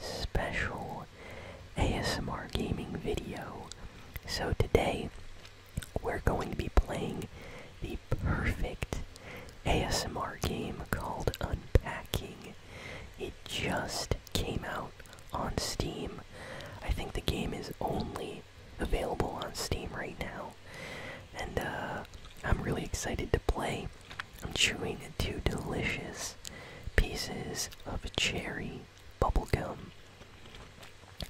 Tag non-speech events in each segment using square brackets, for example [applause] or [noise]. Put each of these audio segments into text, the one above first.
special ASMR gaming video. So today we're going to be playing the perfect ASMR game called Unpacking. It just came out on Steam. I think the game is only available on Steam right now. And uh, I'm really excited to play. I'm chewing two delicious pieces of cherry bubblegum.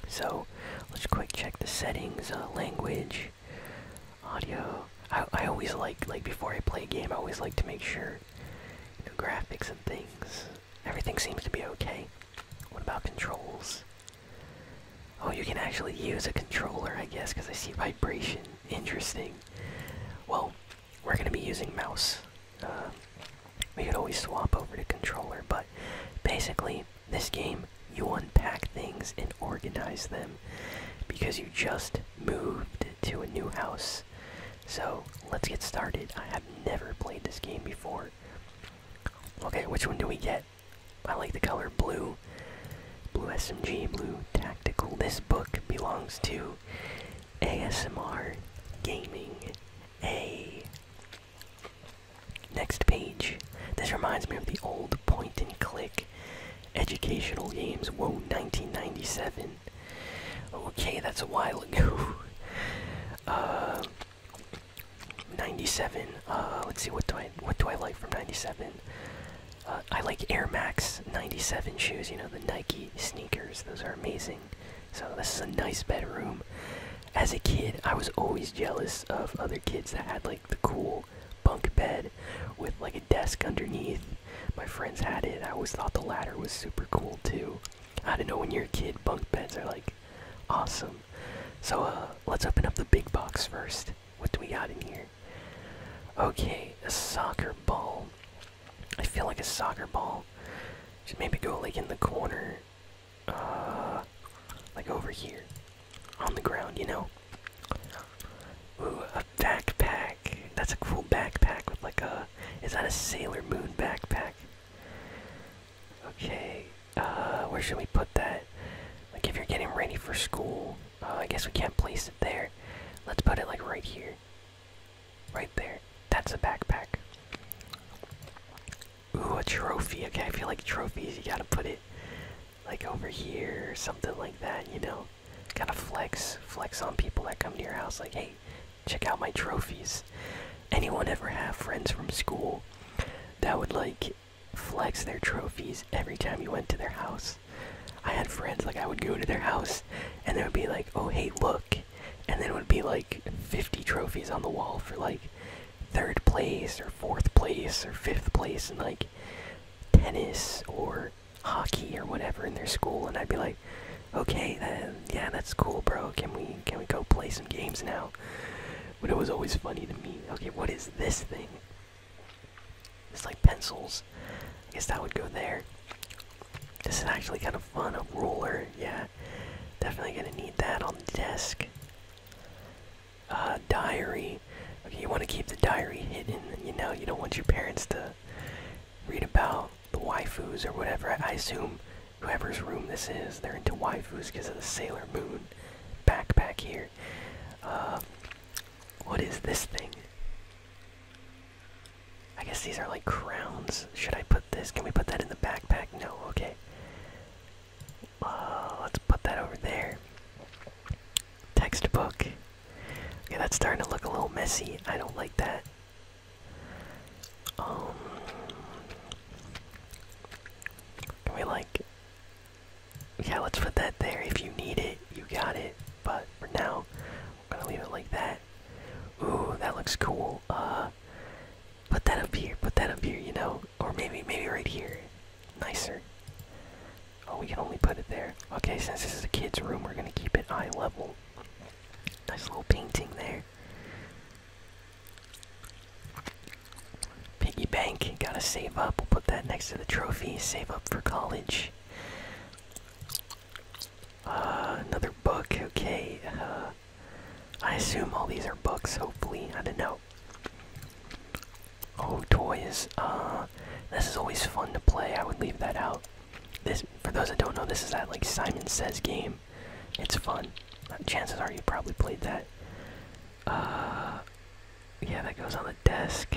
So let's quick check the settings, uh, language, audio. I, I always like, like before I play a game, I always like to make sure graphics and things, everything seems to be okay. What about controls? Oh, you can actually use a controller, I guess, because I see vibration. Interesting. Well, we're going to be using mouse. Uh, we could always swap over to controller, but basically, this game, you unpack things and organize them because you just moved to a new house. So, let's get started. I have never played this game before. Okay, which one do we get? I like the color blue. Blue SMG, blue tactical. This book belongs to ASMR Gaming A. Next page. This reminds me of the old point and click educational games. Whoa, 1997. Okay, that's a while ago. [laughs] uh, 97. Uh, let's see. What do I what do I like from 97? I like Air Max 97 shoes, you know, the Nike sneakers. Those are amazing. So, this is a nice bedroom. As a kid, I was always jealous of other kids that had like the cool bunk bed with like a desk underneath. My friends had it. I always thought the ladder was super cool too. I don't know, when you're a kid, bunk beds are like awesome. So, uh, let's open up the big box first. What do we got in here? Okay, a soccer ball. I feel like a soccer ball. Should maybe go like in the corner. Uh, like over here. On the ground, you know? Ooh, a backpack. That's a cool backpack with like a. Is that a Sailor Moon backpack? Okay, uh, where should we put that? Like if you're getting ready for school, uh, I guess we can't place it there. Let's put it like right here. Right there. That's a backpack. Ooh, a trophy. Okay, I feel like trophies, you gotta put it like over here something like that, you know? Gotta flex. Flex on people that come to your house, like, hey, check out my trophies. Anyone ever have friends from school that would like flex their trophies every time you went to their house? I had friends like I would go to their house, and they would be like, "Oh hey, look," and then it would be like 50 trophies on the wall for like third place or fourth place or fifth place in like tennis or hockey or whatever in their school, and I'd be like, "Okay, then yeah, that's cool, bro. Can we can we go play some games now?" But it was always funny to me. Okay, what is this thing? It's like pencils. I guess that would go there. This is actually kind of fun. A ruler, yeah. Definitely gonna need that on the desk. Uh, diary. Okay, you want to keep the diary hidden. You know, you don't want your parents to read about the waifus or whatever. I, assume whoever's room this is, they're into waifus because of the Sailor Moon backpack here. Uh, what is this thing? I guess these are like crowns. Should I put this? Can we put that in the backpack? No, okay. Uh, let's put that over there. Textbook. Okay, that's starting to look a little messy. I don't like that. Um, can we like? Yeah, let's put that there. If you need it, you got it. But for now, we're gonna leave it like that. Ooh, that looks cool. Uh, put that up here. Put that up here. You know, or maybe maybe right here. Nicer. Oh, we can only put it there. Okay, since this is a kid's room, we're gonna keep it eye level. Nice little painting there. Piggy bank, gotta save up. We'll put that next to the trophy. Save up for college. Uh, another book, okay. Uh, I assume all these are books, hopefully. I don't know. Oh, toys. Uh, this is always fun to play. I would leave that out. This, for those that don't know, this is that like Simon Says game. It's fun. Uh, chances are you probably played that. Uh, yeah, that goes on the desk.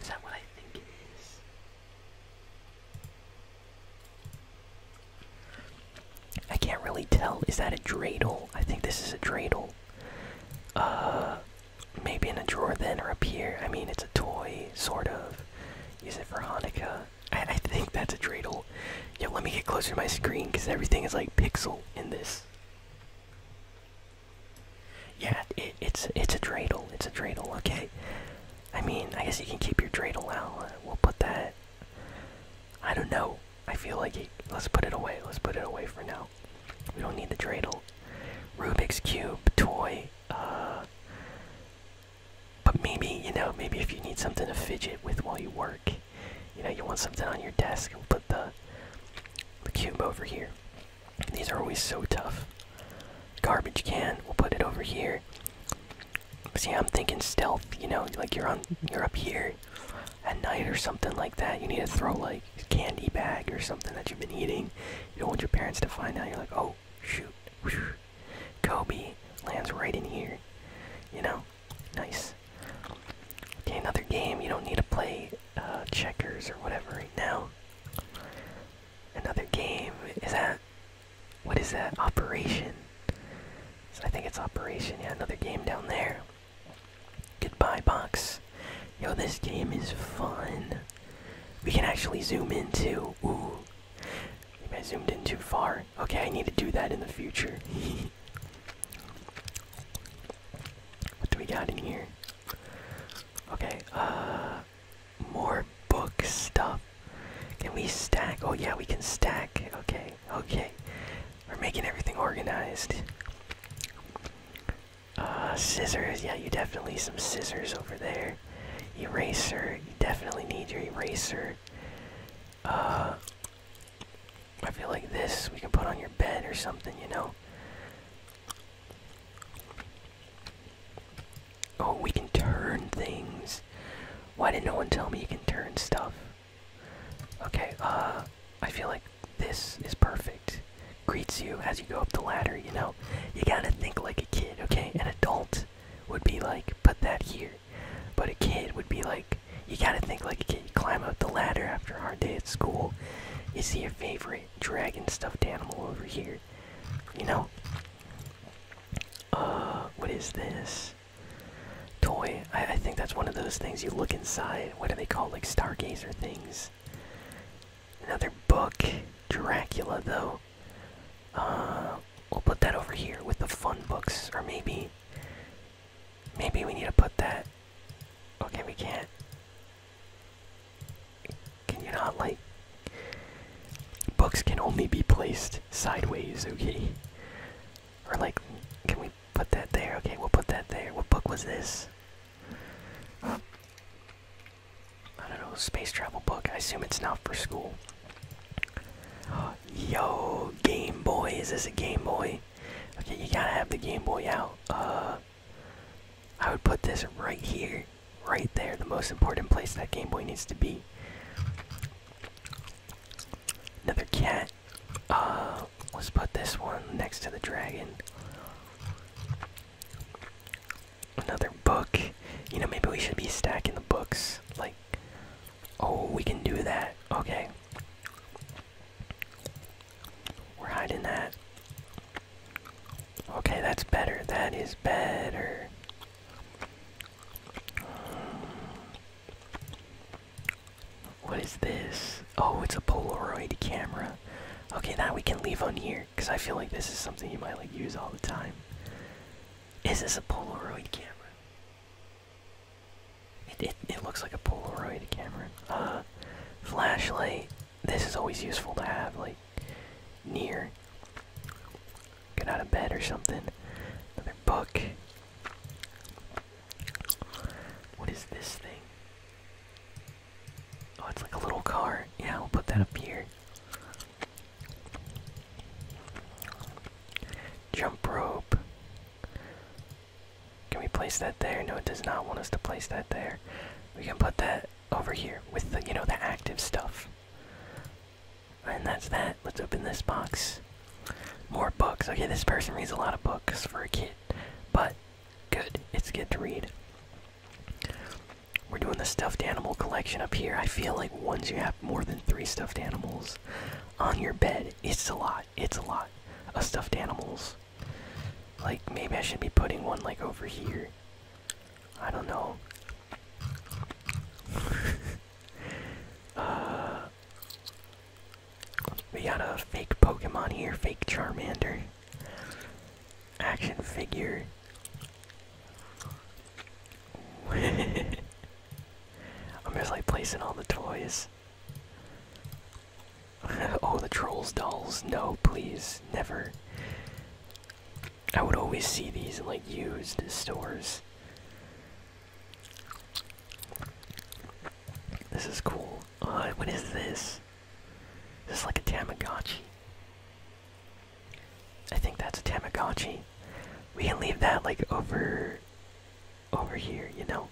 Is that what I think it is? I can't really tell. Is that a dreidel? I think this is a dreidel. Uh, maybe in a drawer then or up here. I mean, it's a toy, sort of. Use it for Hanukkah. I, I think that's a dreidel. Yo, let me get closer to my screen because everything is like pixel in this. Yeah, it's it's a dreidel. It's a dreidel. Okay. I mean, I guess you can keep your dreidel out. We'll put that. I don't know. I feel like let's put it away. Let's put it away for now. We don't need the dreidel. Rubik's cube toy. Uh, but maybe you know, maybe if you need something to fidget with while you work, you know, you want something on your desk. We'll put the the cube over here. These are always so tough. Garbage can. We'll put it over here. See, I'm thinking stealth. You know, like you're on, you're up here at night or something like that. You need to throw like candy bag or something that you've been eating. You don't want your parents to find out. You're like, oh shoot, Kobe lands right in here. You know, nice. Okay, another game. You don't need to play uh, checkers or whatever right now another game. Is that what is that? Operation. So I think it's Operation. Yeah, another game down there. Goodbye, box. Yo, this game is fun. We can actually zoom in too. Ooh, maybe I zoomed in too far. Okay, I need to do that in the future. [laughs] what do we got in here? Okay, uh, more book stuff. Can we stack? Oh yeah, we can stack. Okay, okay. We're making everything organized. Uh, scissors. Yeah, you definitely some scissors over there. Eraser. You definitely need your eraser. Uh, I feel like this we can put on your bed or something, you know. Oh, we can turn things. Why did not no one tell me you can turn stuff? Okay, uh, I feel like this is perfect. Greets you as you go up the ladder, you know? You gotta think like a kid, okay? An adult would be like, put that here. But a kid would be like, you gotta think like a kid. You climb up the ladder after a hard day at school. Is he your favorite dragon stuffed animal over here. You know? Uh, what is this? Toy. I, I think that's one of those things you look inside. What do they call like stargazer things? Another book. Dracula, though. Uh, we'll put that over here with the fun books, or maybe. Maybe we need to put that. Okay, we can't. Can you not like books can only be placed sideways, okay? Or like can we put that there? Okay, we'll put that there. What book was this? I don't know, space travel book. I assume it's not for school. [gasps] Yo, Game Boy. Is this a Game Boy? Okay, you gotta have the Game Boy out. Uh I would put this right here, right there, the most important place that Game Boy needs to be. Another cat. Uh, let's put this one next to the dragon. Another book. You know, maybe we should be stacking the books. Like, oh, we can do that. Okay. We're hiding that. Okay, that's better. That is better. What is this? Oh, it's a Polaroid camera. Okay, now we can leave on here because I feel like this is something you might like use all the time. Is this a Polaroid camera? It it, looks like a Polaroid camera. Uh, flashlight this is always useful to have, like, near. Get out of bed or something. Another book. What is this thing? Oh, it's like a little car. Yeah, we'll put that up here. Jump rope. Can we place that there? No, it does not want us to place that there. We can put that over here with the you know the active stuff. And that's that. Let's open this box. More books. Okay, this person reads a lot of books for a kid, but good. It's good to read. We're doing the stuffed animal collection up here. I feel like once you have more than three stuffed animals on your bed, it's a lot. It's a lot of stuffed animals. Like, maybe I should be putting one, like, over here. I don't know. [laughs] Uh, we got a fake Pokemon here, fake Charmander. Action figure. [laughs] I'm just like placing all the toys. [laughs] oh, the trolls dolls. No, please. Never. I would always see these in like used stores. This is cool. Uh, what is this? This is like a Tamagotchi. I think that's a Tamagotchi. We can leave that like over over here, you know.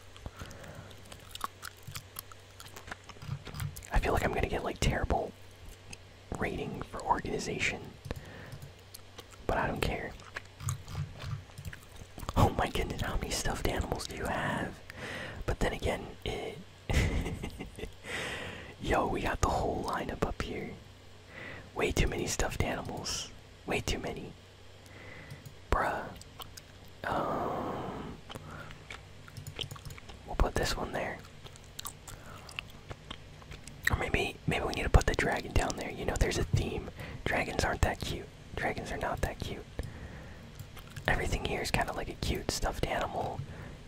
I feel like I'm gonna get like terrible rating for organization, but I don't care. Oh my goodness, how many stuffed animals do you have? But then again, [laughs] Yo, we got the whole lineup up here. Way too many stuffed animals. Way too many. Bruh. Um. We'll put this one there. Or maybe maybe we need to put the dragon down there. You know, there's a theme. Dragons aren't that cute. Dragons are not that cute. Everything here is kind of like a cute stuffed animal.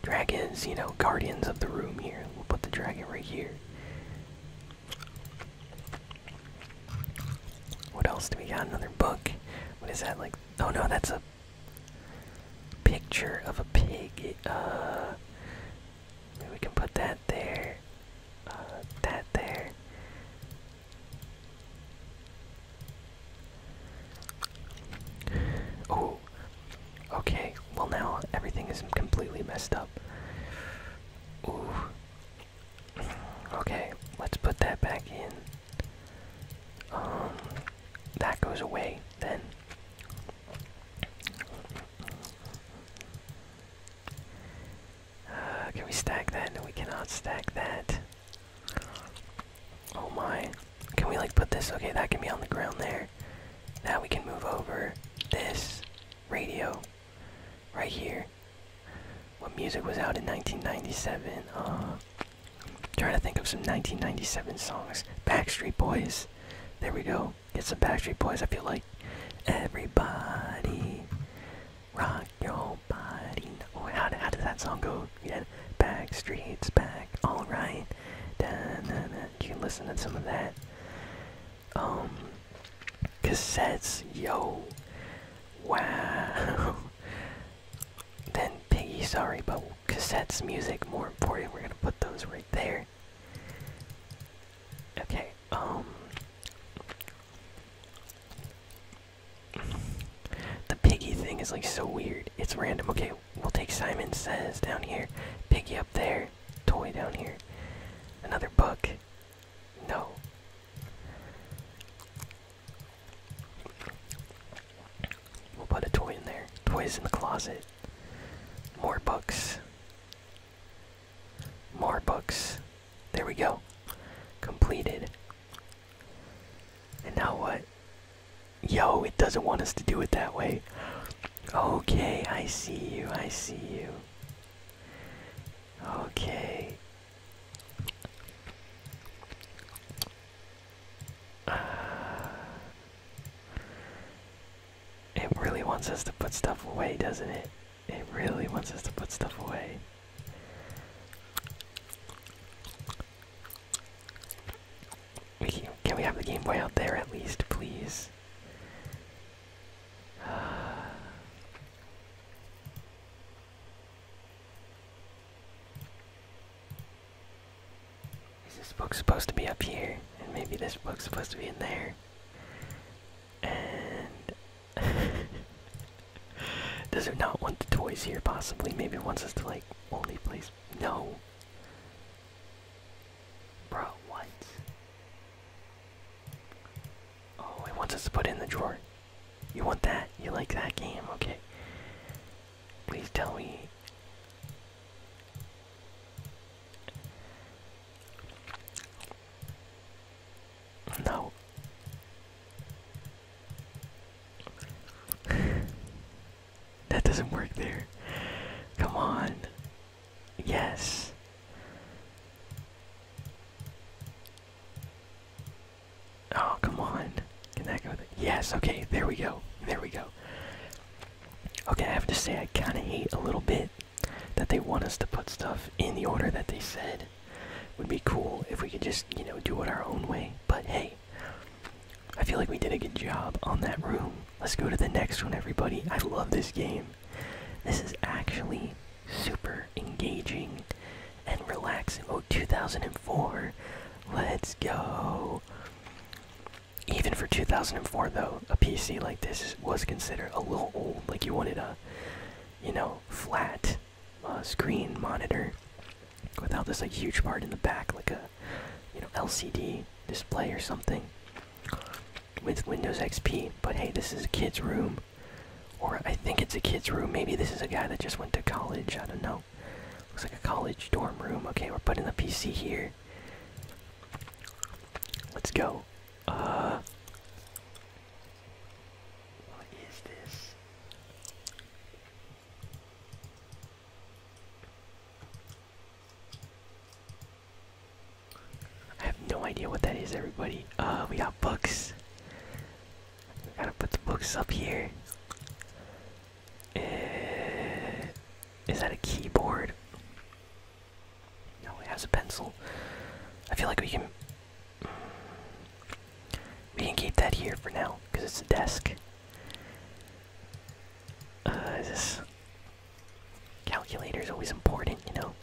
Dragons, you know, guardians of the room here. We'll put the dragon right here. What else do we got? Another book. What is that like? Oh no, that's a Picture of a pig. Uh, we can put that there. Uh, that there. Oh, okay. Well, now everything is completely messed up. Ooh. Okay, let's put that back in. Um, that goes away then. Uh, can we stack that? we cannot stack that. Oh my. Can we like put this? Okay, that can be on the ground there. Now we can move over this radio right here. What music was out in 1997? Trying to think of some 1997 songs. Backstreet Boys. There we go. Get some Backstreet Boys. I feel like everybody rock your body. Oh, how, how does that song go? Yeah, Backstreet's back. All right. Da, da, You can listen to some of that. Um, cassettes. Yo. Wow. [laughs] then Piggy. Sorry, but cassettes, music, more important. We're gonna put those right there. Okay, um. The piggy thing is like so weird. It's random. Okay, we'll take Simon Says down here, piggy up there, toy down here, another book. No. We'll put a toy in there. Toys in the closet. More books. More books. There we go. Completed. And now what? Yo, it doesn't want us to do it that way. Okay, I see you, I see you. Okay. Uh, it really wants us to put stuff away, doesn't it? It really wants us to put stuff away. can, we have the Game Boy out there at least, please? Is this book supposed to be up here? And maybe this book's supposed to be in there. And [laughs] does it not want the toys here possibly? Maybe wants us to like only place No. Bro, what? Oh, it wants us to put in the drawer. You want that? You like that game, okay. Please tell me. No. [laughs] that doesn't work there. Come on. Yes. Oh, come on. Can that go Yes, okay, there we go. There we go. Okay, I have to say, I kind of hate a little bit that they want us to put stuff in the order that they said. would be cool if we could just, you know, do it our own way. But hey, I feel like we did a good job on that room. Let's go to the next one, everybody. I love this game. This is actually super engaging and relaxing. Oh, 2004. Let's go. Even for 2004, though, a PC like this was considered a little old. Like you wanted a, you know, flat uh, screen monitor without this like huge part in the back, like a, you know, LCD display or something. With Windows XP, but hey, this is a kid's room, or I think it's a kid's room. Maybe this is a guy that just went to college. I don't know. Looks like a college dorm room. Okay, we're putting the PC here. Let's go. Uh. What is this? I have no idea what that is, everybody. Uh, we got books. gotta put the books up here. Eh, is that a keyboard? No, it has a pencil. I feel like we can. we can keep that here for now because it's a desk. Uh, this calculator is always important, you know?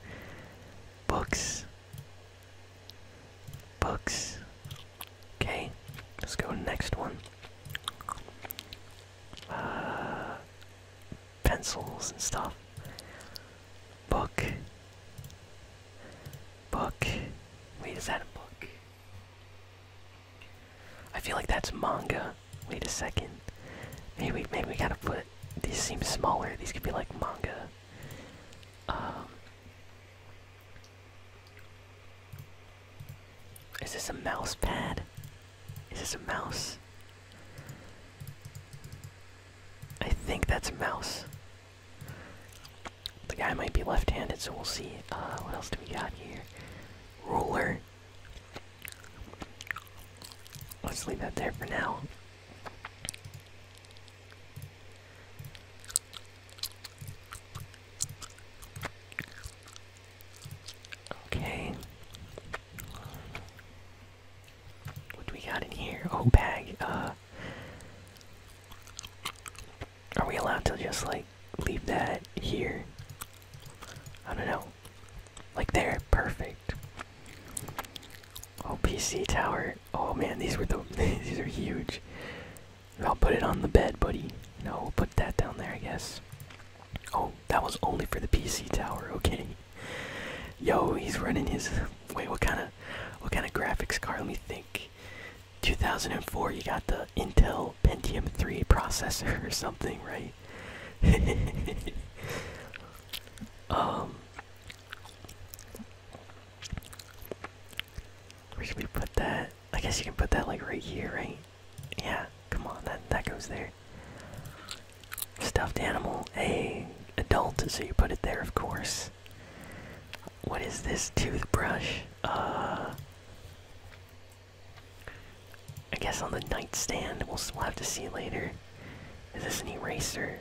Books. Books. Okay, let's go next one. Uh, pencils and stuff. Book. Book. Wait, is that a book? I feel like that's manga. Wait a second. Maybe maybe we gotta put these seem smaller. These could be like manga. Um is this a mouse pad? Is this a mouse? I think that's a mouse. The guy might be left-handed, so we'll see. Uh, what else do we got here? Ruler. Let's leave that there for now. Okay. What do we got in here? Oh, bag. Uh, are we allowed to just like leave that here? I don't know. Like there, perfect. Oh, PC tower. Oh man, these were the [laughs] these are huge. I'll put it on the bed, buddy. No, we'll put that down there, I guess. Oh, that was only for the PC tower. Okay. Yo, he's running his. Wait, what kind of, what kind of graphics card? Let me think. 2004. You got the Intel Pentium 3 processor or something, right? [laughs] um. Where should we put that? I guess you can put that like right here, right? yeah, come on, that that goes there. Stuffed animal, a adult, so you put it there, of course. What is this toothbrush? Uh, I guess on the nightstand. We'll, we'll have to see later. Is this an eraser?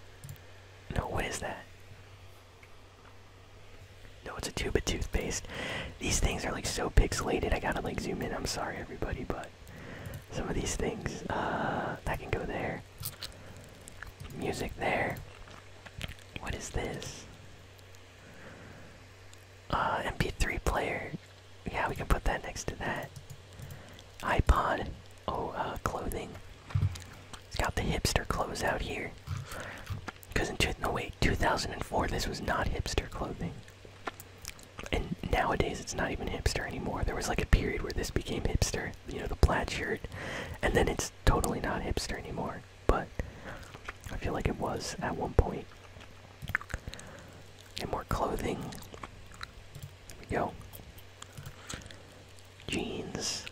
No, what is that? No, it's a tube of toothpaste. These things are like so pixelated. I gotta like zoom in. I'm sorry, everybody, but some of these things uh, that can go there. Music there. What is this? Uh, MP3 player. Yeah, we can put that next to that. iPod. Oh, uh, clothing. It's got the hipster clothes out here. Because in two, no wait, 2004, this was not hipster clothing and nowadays it's not even hipster anymore. There was like a period where this became hipster, you know, the plaid shirt, and then it's totally not hipster anymore. But I feel like it was at one point. And more clothing. Here we go. Jeans.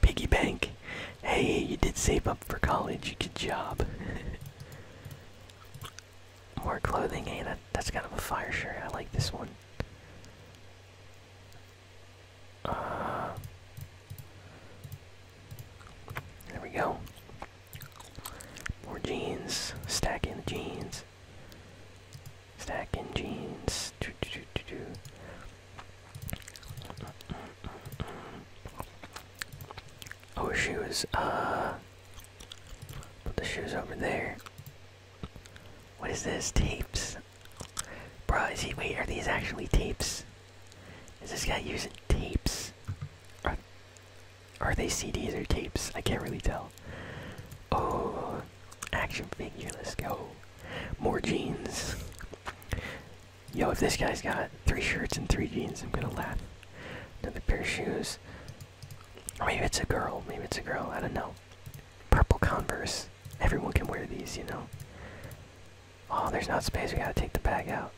Piggy bank. Hey, you did save up for college. Good job. [laughs] More clothing. Hey, eh? that's kind of a fire shirt. I like this one. Uh, there we go. More jeans. Stacking the jeans. Stacking jeans. Doo -doo -doo -doo -doo. Oh, shoes. Uh, the shoes over there. What is this? Tapes. Bro, is he? Wait, are these actually tapes? Is this guy using tapes? Are, are they CDs or tapes? I can't really tell. Oh, action figure. Let's go. More jeans. Yo, if this guy's got three shirts and three jeans, I'm gonna laugh. Another pair of shoes. Or maybe it's a girl. Maybe it's a girl. I don't know. Purple Converse. Everyone can wear these, you know. Oh, there's not space. We gotta take the bag out.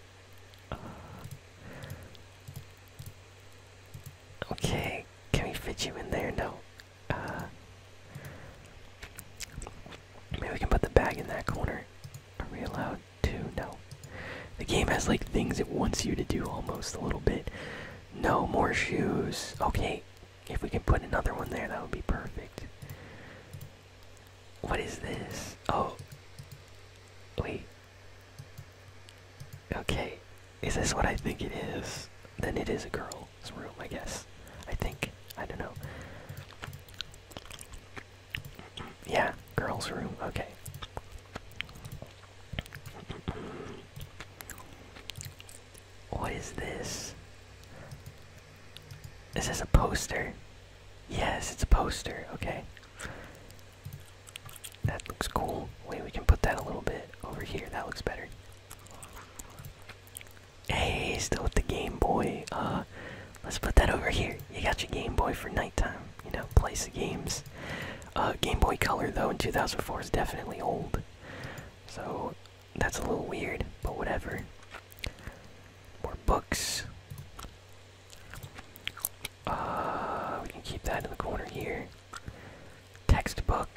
okay, can we fit you in there? No. Uh, Maybe we can put the bag in that corner. Are we allowed to? No. The game has like things it wants you to do almost a little bit. No more shoes. Okay, if we can put another one there, that would be perfect. What is this? Oh. Wait. Okay. Is this what I think it is? Then it is a girl his room, I guess. I think. I don't know. Yeah, girl's room. Okay. What is this? Is this a poster? Yes, it's a poster. Okay. That looks cool. Wait, we can put that a little bit over here. That looks better. Hey, still with the Game Boy. Uh, let's put that over here. You got your Game Boy for nighttime. You know, play some games. Uh, Game Boy Color though in 2004 is definitely old. So that's a little weird, but whatever. More books. Uh, we can keep that in the corner here. Textbook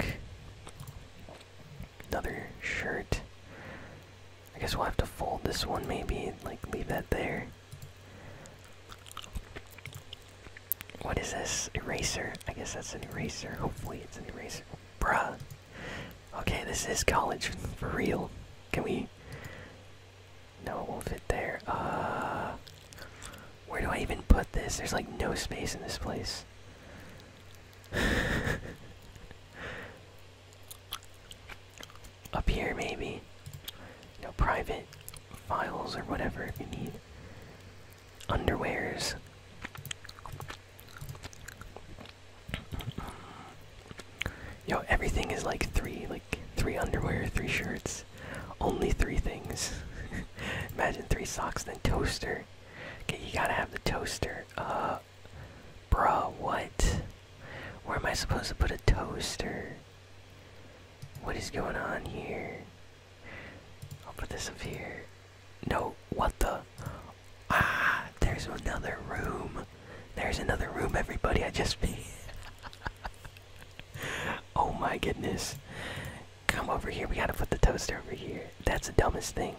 another shirt. I guess we'll have to fold this one maybe, like leave that there. What is this? Eraser. I guess that's an eraser. Hopefully it's an eraser. Bruh. Okay, this is college for real. Can we No, it won't fit there. Uh where do I even put this? There's like no space in this place. [laughs] Up here, maybe. No private files or whatever if you need. Underwears. Yo, everything is like three, like three underwear, three shirts. Only three things. [laughs] Imagine three socks, then toaster. Okay, you gotta have the toaster. Uh, out. what? Where am I supposed to put a toaster? What is going on here? I'll put this up here. No, what the? Ah, there's another room. There's another room, everybody. I just made. [laughs] oh my goodness. Come over here. We gotta put the toaster over here. That's the dumbest thing.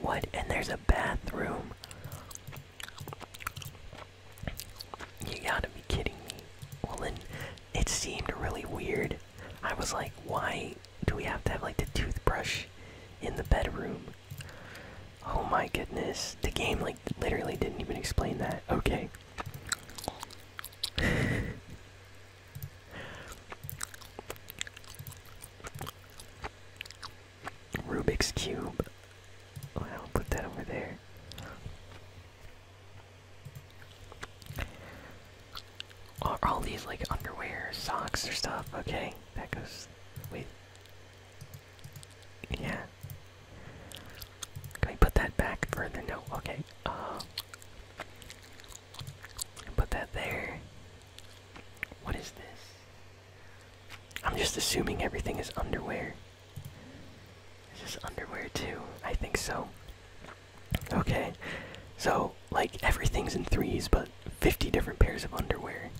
What? And there's a bathroom. You gotta be kidding me. Well, then it seemed really weird. I was like, why do we have to have like the toothbrush in the bedroom? Oh my goodness. The game like literally didn't even explain that. Okay. Rubik's Cube. I'll put that over there. all these like underwear, socks, or stuff? Okay, that goes with. Yeah. Can I put that back further? No, okay. Uh, put that there. What is this? I'm just assuming everything is underwear. This Is underwear too? I think so. Okay, so like everything's in threes, but 50 different pairs of underwear.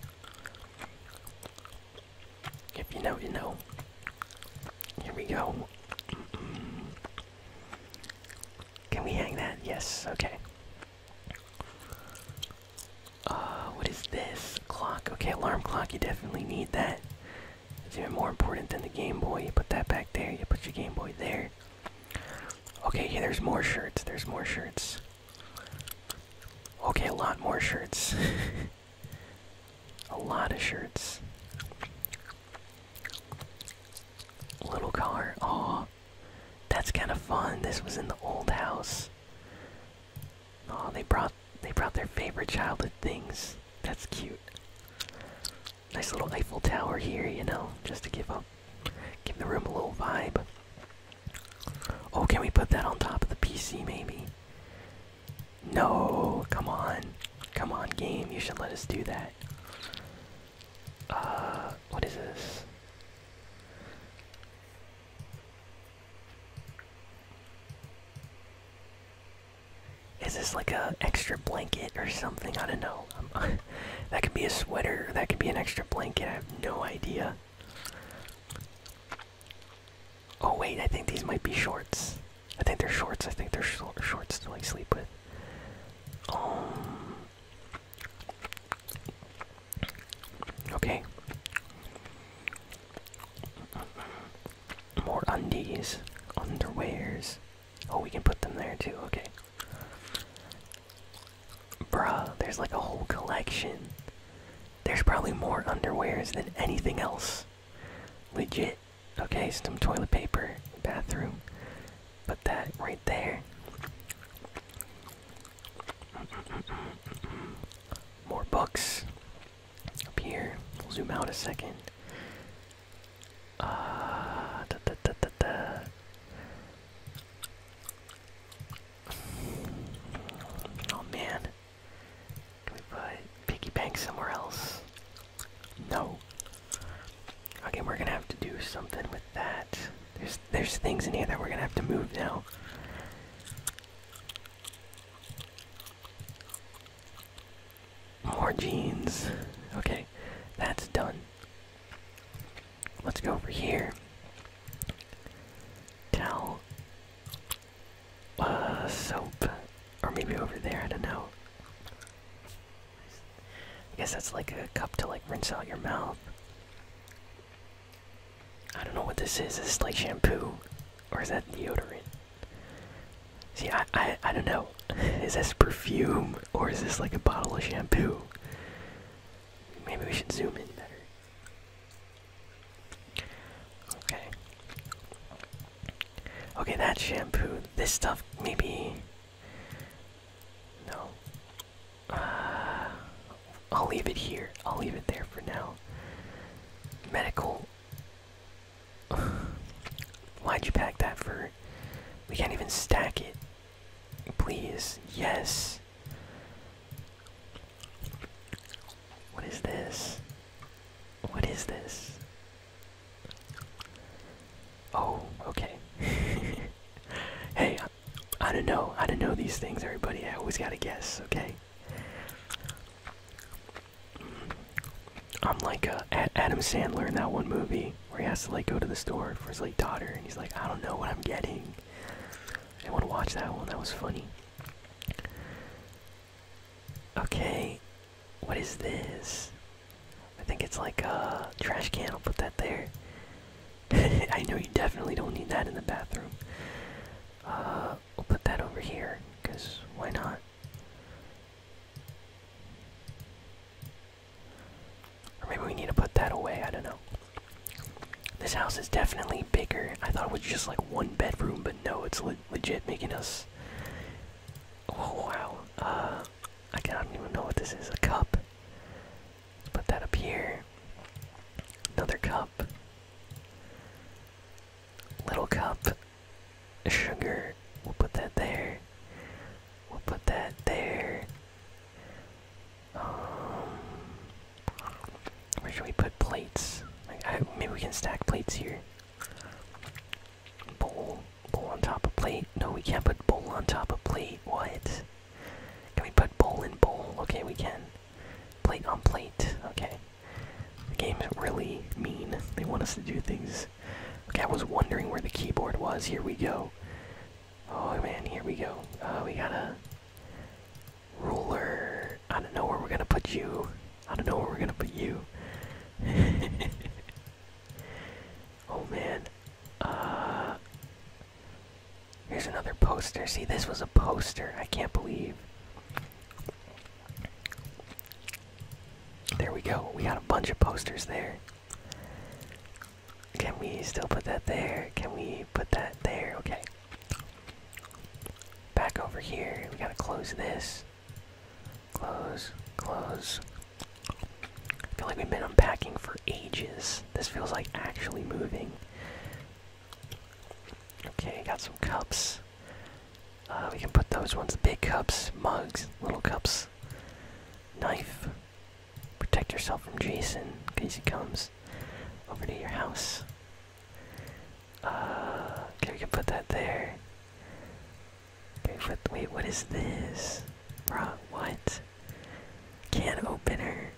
If you know, you know. Here we go. Can we hang that? Yes, okay. Uh, what is this? Clock. Okay, alarm clock. You definitely need that. It's even more important than the Game Boy. You put that back there. You put your Game Boy there. Okay, yeah, there's more shirts. There's more shirts. Okay, a lot more shirts. [laughs] a lot of shirts. Little car. Oh, that's kind of fun. This was in the old house. Oh, they brought they brought their favorite childhood things. That's cute. Nice little Eiffel Tower here, you know, just to give up, give the room a little vibe. Oh, can we put that on top of the PC maybe? No, come on. Come on, game, you should let us do that. Uh, what is this? Is this like a extra blanket or something? I don't know. [laughs] that could be a sweater. That could be an extra blanket. I have no idea. Oh wait, I think these might be shorts. I think they're shorts. I think they're shorts to like sleep with. Um, Okay. More undies, underwears. Oh, we can put them there too, okay. Bruh, there's like a whole collection. There's probably more underwears than anything else. Legit. Okay, some toilet paper, bathroom. Put that right there. More books up here. We'll zoom out a second. Uh, da, da, da, da, da. Oh man, can we put piggy bank somewhere else? No. Okay, we're gonna have to do something with that there's things in here that we're gonna have to move now. More jeans. Okay, that's done. Let's go over here. Towel. Uh, soap. Or maybe over there, I don't know. I guess that's like a cup to like rinse out your mouth. I don't know what this is. Is this like shampoo? Or is that deodorant? See, I, I, I don't know. [laughs] is this perfume? Or is this like a bottle of shampoo? Maybe we should zoom in better. Okay. Okay, that's shampoo. This stuff, maybe. No. Uh, I'll leave it here. I'll leave it there for now. Medical. [sighs] Why'd you pack that for? We can't even stack it. Please. Yes. What is this? What is this? Oh, okay. [laughs] hey, I don't know. I don't know these things, everybody. I always gotta guess, okay? I'm like uh, Adam Sandler in that one movie where he has to like go to the store for his late daughter, and he's like, I don't know what I'm getting. I want to watch that one. That was funny. Okay, what is this? I think it's like a uh, trash can. I'll put that there. [laughs] I know you definitely don't need that in the bathroom. Uh, we'll put that over here, because why not? maybe we need to put that away, I don't know. This house is definitely bigger. I thought it was just like one bedroom, but no, it's legit making us. Oh wow. Uh, I can not even know what this is. A cup. Let's put that up here. Another cup. Little cup. Sugar. We'll put that there. We'll put that there. Um, where should we put plates? maybe we can stack plates here. Bowl. Bowl on top of plate. No, we can't put bowl on top of plate. What? Can we put bowl in bowl? Okay, we can. Plate on plate. Okay. The game's really mean. They want us to do things. Okay, I was wondering where the keyboard was. Here we go. Oh man, here we go. Uh, we got a ruler. I don't know where we're gonna put you. I don't know where we're gonna put you. [laughs] oh man. Uh, Here's another poster. See, this was a poster. I can't believe. There we go. We got a bunch of posters there. Can we still put that there? Can we put that there? Okay. Back over here. We gotta close this. Close. Close. I feel like we've been unpacking for ages. This feels like actually moving. Okay, got some cups. Uh, we can put those ones, big cups, mugs, little cups, knife. Protect yourself from Jason in case he comes over to your house. Uh, okay, we can put that there. Okay, wait, what is this? Bruh, what? Can opener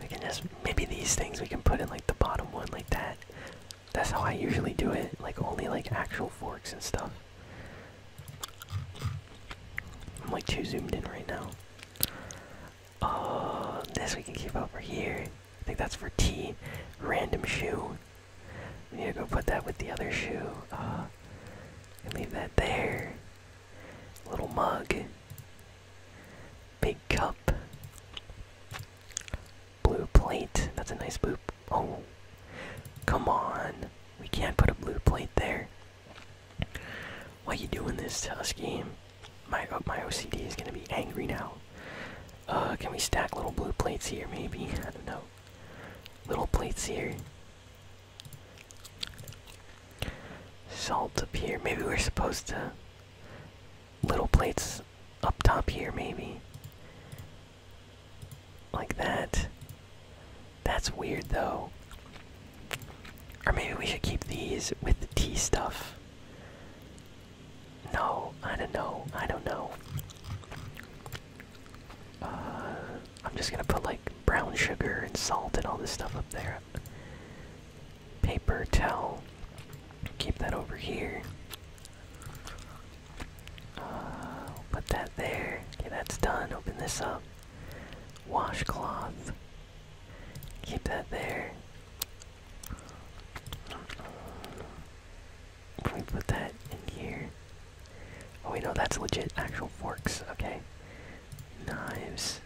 we can just maybe these things we can put in like the bottom one like that. That's how I usually do it. Like only like actual forks and stuff. I'm like too zoomed in right now. Oh, this we can keep over here. I think that's for T. Random shoe. Yeah, go put that with the other shoe. Uh, leave that there. Little mug. Big cup. Blue plate. That's a nice blue. Oh, come on. We can't put a blue plate there. Why are you doing this to My uh, my OCD is gonna be angry now. Uh, can we stack little blue plates here, maybe? I don't know little plates here. Salt up here. Maybe we're supposed to. Little plates up top here, maybe. Like that. That's weird though. Or maybe we should keep these with the tea stuff. No, I don't know. I don't know. Uh, I'm just gonna put like brown sugar and salt and all this stuff up there. Paper towel. Keep that over here. Uh, put that there. Okay, that's done. Open this up. Washcloth. Keep that there. put that in here? Oh, we know that's legit actual forks. Okay. Knives.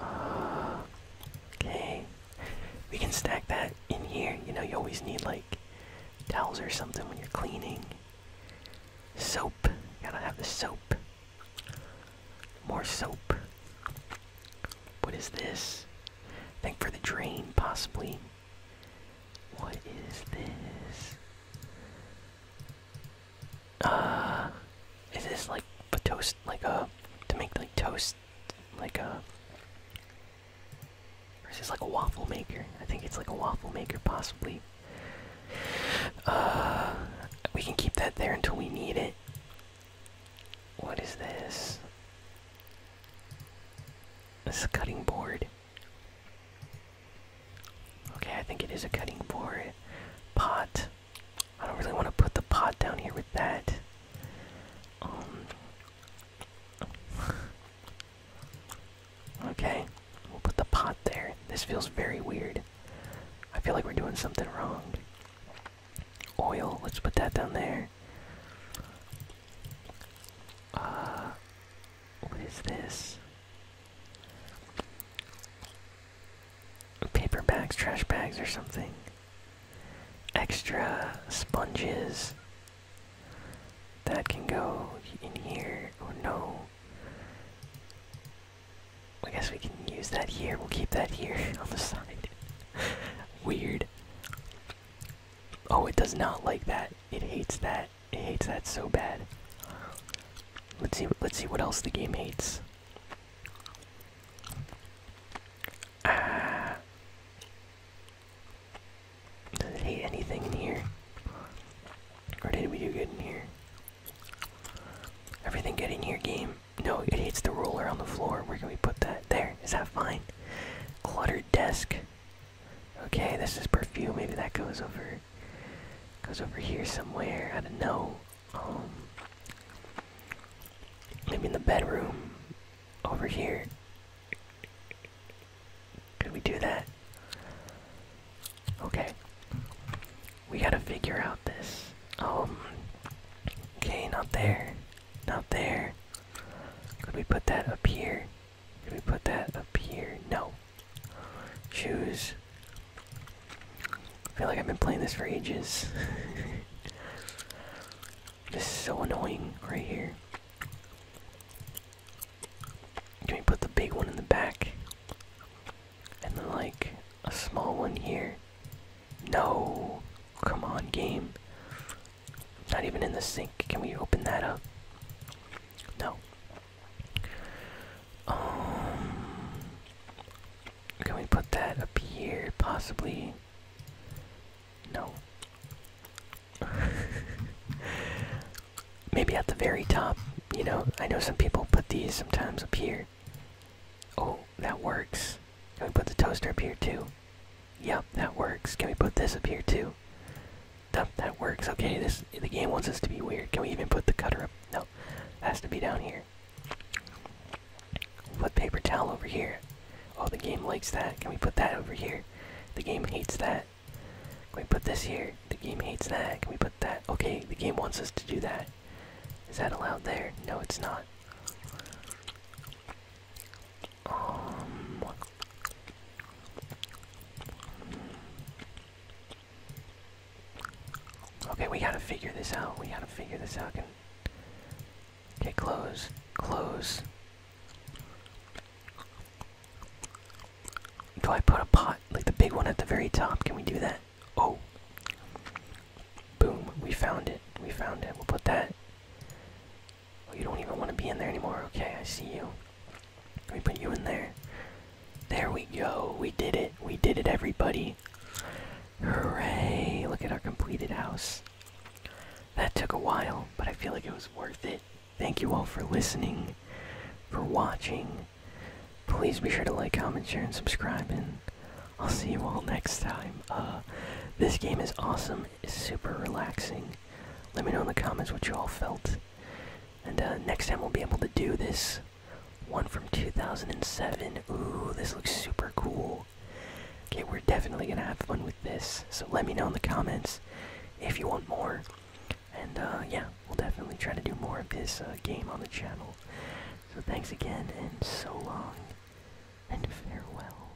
Uh, okay. We can stack that in here. You know, you always need, like, towels or something when you're cleaning. Soap. Gotta have the soap. More soap. What is this? think for the drain, possibly. What is this? Uh, is this like a toast, like a, uh, to make like toast, like a, uh, or is this like a waffle maker? I think it's like a waffle maker, possibly. Uh, we can keep that there until we need it. What is this? This is a cutting board. Okay, I think it is a cutting board. Pot. I don't really want to put the pot down here with that. Um. [laughs] okay, we'll put the pot there. This feels very weird. I feel like we're doing something wrong. Oil, let's put that down there. Uh, what is this? Paper bags, trash bags, or something. Extra sponges. That can go in here. Oh no. I guess we can use that here. We'll keep that here [laughs] on the side. Weird. Oh, it does not like that. It hates that. It hates that so bad. Let's see. Let's see what else the game hates. Ah. Does it hate anything in here? Or did we do good in here? Everything good in here, game? No, it hates the ruler on the floor. Where can we put that? There. Is that fine? Cluttered desk. Okay, this is perfume. Maybe that goes over goes over here somewhere. I don't know. Um maybe in the bedroom over here. Could we do that? Okay. We gotta figure out this. Um, okay, not there. Not there. Could we put that up here? Can we put that up here? No. Shoes. I feel like I've been playing this for ages. [laughs] this is so annoying right here. Can we put the big one in the back? And like a small one here. No. Come on, game not even in the sink. Can we open that up? No. Um, can we put that up here, possibly? No. [laughs] Maybe at the very top, you know? I know some people put these sometimes up here. Oh, that works. Can we put the toaster up here too? Yep, that works. Can we put this up here too? Nope, that works. Okay, this the game wants us to be weird. Can we even put the cutter up? No, has to be down here. we put paper towel over here. Oh, the game likes that. Can we put that over here? The game hates that. Can we put this here? The game hates that. Can we put that? Okay, the game wants us to do that. Is that allowed there? No, it's not. Um, okay, we gotta figure this out. We gotta figure this out. okay, close, close. Do I put a pot, like the big one at the very top? Can we do that? Oh. Boom, we found it. We found it. We'll put that Oh, you don't even want to be in there anymore. Okay, I see you. We put you in there. There we go. We did it. We did it, everybody. Hooray! Look at our completed house. That took a while, but I feel like it was worth it. Thank you all for listening, for watching. Please be sure to like, comment, share, and subscribe, and I'll see you all next time. Uh, this game is awesome. It's super relaxing. Let me know in the comments what you all felt. And uh, next time we'll be able to do this one from 2007. Ooh, this looks super cool. Okay, we're definitely gonna have fun with this. So let me know in the comments if you want more. And uh, yeah, we'll definitely try to do more of this uh, game on the channel. So thanks again, and so long, and farewell.